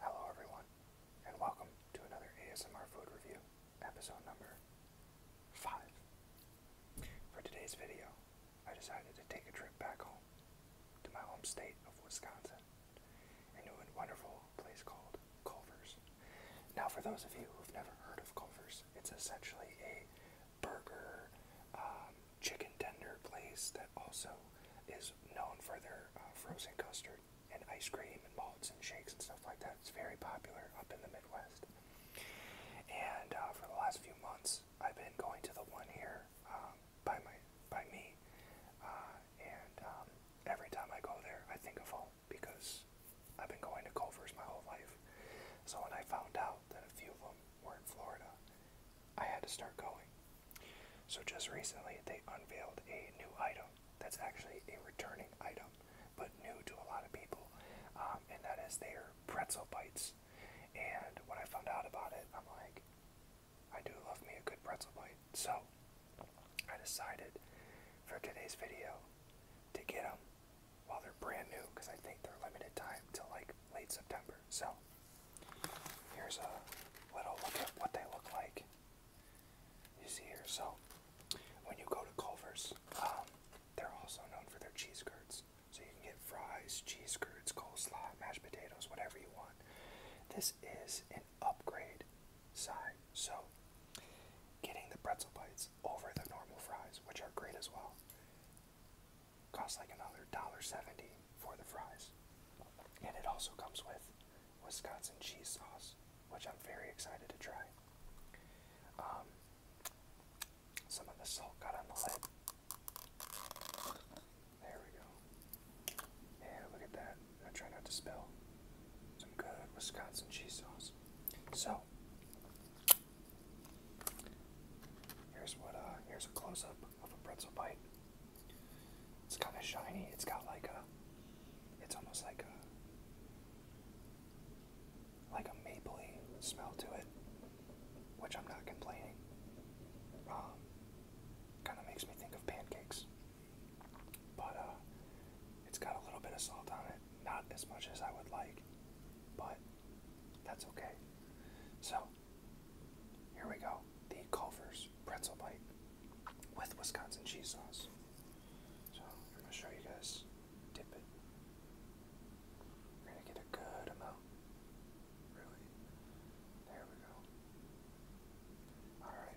Hello everyone, and welcome to another ASMR food review, episode number 5. For today's video, I decided to take a trip back home, to my home state of Wisconsin, a new and wonderful place called Culver's. Now for those of you who've never heard of Culver's, it's essentially a burger, um, chicken tender place that also is is known for their uh, frozen custard and ice cream and malts and shakes and stuff like that. It's very popular up in the Midwest. And uh, for the last few months, I've been going to the one here um, by my by me. Uh, and um, every time I go there, I think of home because I've been going to Culver's my whole life. So when I found out that a few of them were in Florida, I had to start going. So just recently, they unveiled a new item that's actually a returning item, but new to a lot of people, um, and that is their pretzel bites. And when I found out about it, I'm like, I do love me a good pretzel bite. So I decided for today's video to get them while they're brand new because I think they're limited time till like late September. So here's a little look at what they look like. You see here. So when you go to Culver's, um, they're also known for their cheese curds. So you can get fries, cheese curds, coleslaw, mashed potatoes, whatever you want. This is an upgrade side. So getting the pretzel bites over the normal fries, which are great as well costs like another dollar seventy for the fries. And it also comes with Wisconsin cheese sauce, which I'm very excited to try. Um, some of the salt got on the lid. There we go. And look at that. I try not to spill. Some good Wisconsin cheese sauce. So here's what uh here's a close up of a pretzel bite. It's kind of shiny. It's got like a, it's almost like a, like a mapley smell to it, which I'm not complaining. Um, kind of makes me think of pancakes, but uh, it's got a little bit of salt on it. Not as much as I would like, but that's okay. So here we go. The Culver's pretzel bite with Wisconsin cheese sauce. So I'm gonna show you guys. Dip it. We're gonna get a good amount. Really. There we go. All right.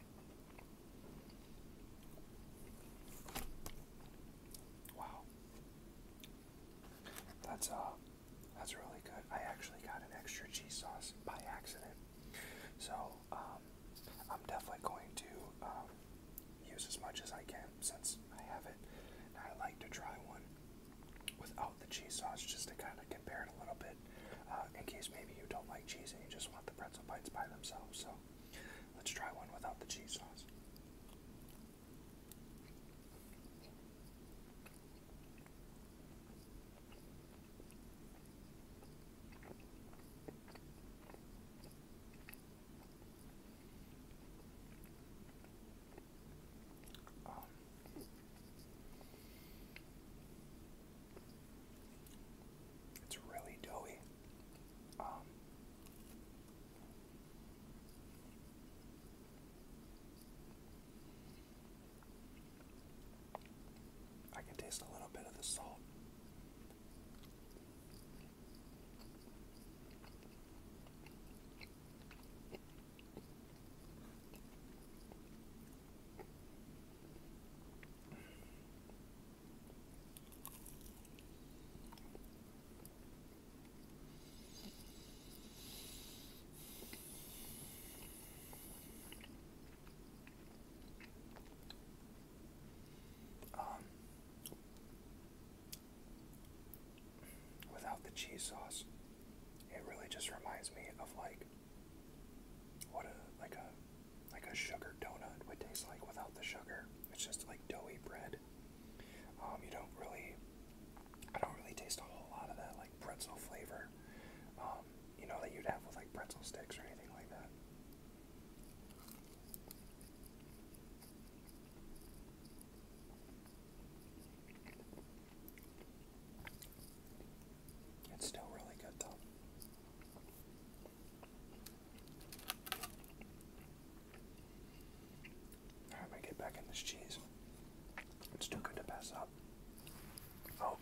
Wow. That's uh that's really good. I actually got an extra cheese sauce by accident. So, um I'm definitely going to um use as much as I can since I have it. I like to try one without the cheese sauce just to kind of compare it a little bit uh, in case maybe you don't like cheese and you just want the pretzel bites by themselves. So Let's try one without the cheese sauce. Um, it's really doughy. Um, I can taste a little bit of the salt. Um, without the cheese sauce, it really just reminds me of like what a like a like a sugar donut would taste like without the sugar. It's just like doughy bread. Um, you don't really, I don't really taste a whole lot of that like pretzel flavor, um, you know, that you'd have with like pretzel sticks or anything like that. It's still really good though. Alright, i get back in this cheese. It's too good to pass up. Oh,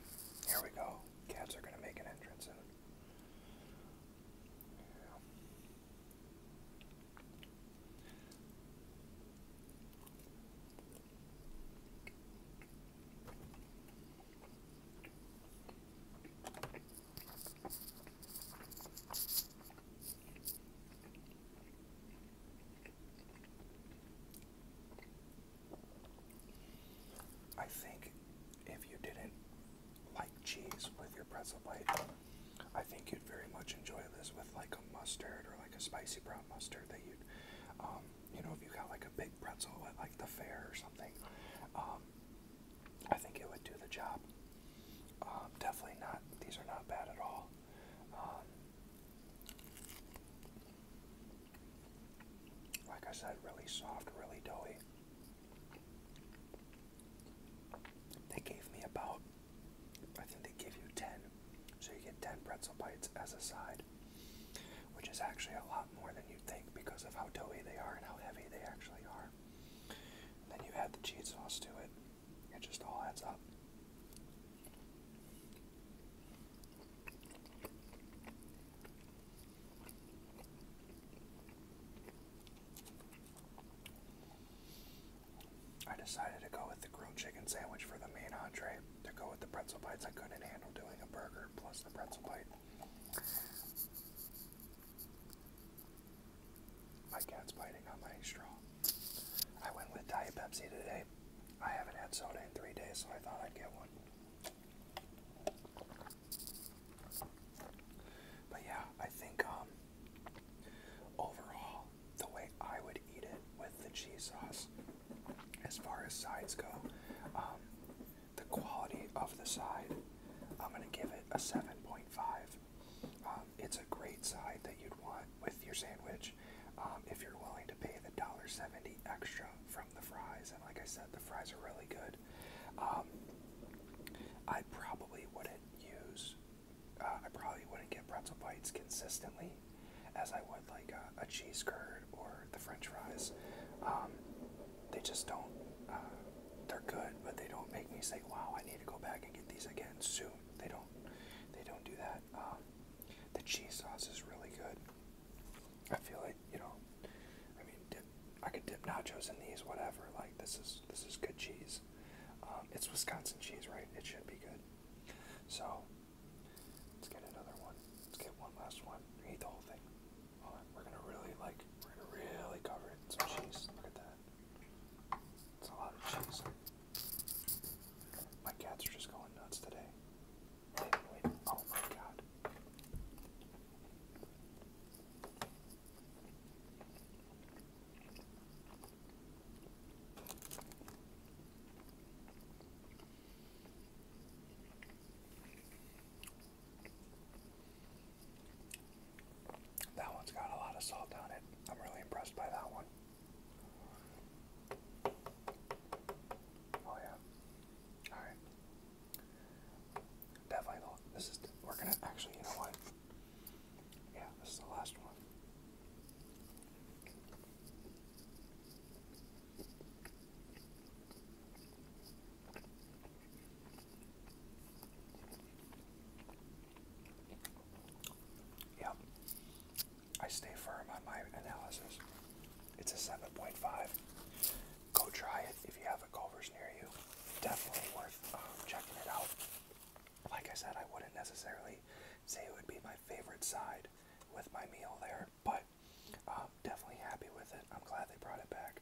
here we go. Cats are gonna make an entrance I think if you didn't like cheese with your pretzel bite, I think you'd very much enjoy this with like a mustard or like a spicy brown mustard that you'd um, you know, if you got like a big pretzel at like the fair or something, um, I think it would do the job. Um, definitely not, these are not bad at all. Um, like I said, really soft, really doughy. They gave me about, I think they give you 10, so you get 10 pretzel bites as a side which is actually a lot more than you'd think because of how doughy they are and how heavy they actually are. then you add the cheese sauce to it, it just all adds up. I decided to go with the grilled chicken sandwich for the main entree, to go with the pretzel bites. I couldn't handle doing a burger plus the pretzel bite. My cat's biting on my straw. I went with Diet Pepsi today. I haven't had soda in three days, so I thought I'd get one. But yeah, I think um, overall, the way I would eat it with the cheese sauce, as far as sides go, um, the quality of the side, I'm going to give it a 7.5. Um, it's a great side that you'd want with your sandwich um, if you're willing to pay the $1.70 extra from the fries. And like I said, the fries are really good. Um, I probably wouldn't use, uh, I probably wouldn't get pretzel bites consistently as I would like a, a cheese curd or the French fries. Um, they just don't. Uh, they're good, but they don't make me say, "Wow, I need to go back and get these again soon." They don't. They don't do that. Um, the cheese sauce is really good. I feel like you know. I mean, dip, I could dip nachos in these, whatever. Like this is this is good cheese. Um, it's Wisconsin cheese, right? It should be good. So Let's get another one. Let's get one last one. Eat the whole thing. We're gonna really like we're gonna really cover it. Some cheese. Look at that. It's a lot of cheese. My cats are just going nuts today. Wait, wait. Oh my god. That one's got a lot of salt on it. I'm really impressed by that one. Oh yeah. All right. Definitely. This is. we actually. You know what? Yeah, this is the last one. Yep. I stay firm on my analysis. It's a 7.5. Go try it if you have a Culver's near you. Definitely worth um, checking it out. Like I said, I wouldn't necessarily say it would be my favorite side with my meal there, that, but um, definitely happy with it. I'm glad they brought it back,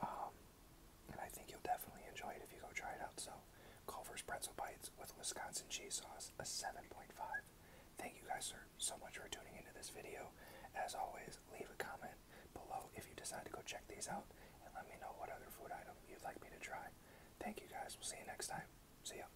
um, and I think you'll definitely enjoy it if you go try it out. So, Culver's Pretzel Bites with Wisconsin cheese sauce, a 7.5. Thank you guys sir, so much for tuning into this video. As always, leave a comment below if you decide to go check these out, and let me know what other food item you'd like me to try. Thank you guys. We'll see you next time. See ya.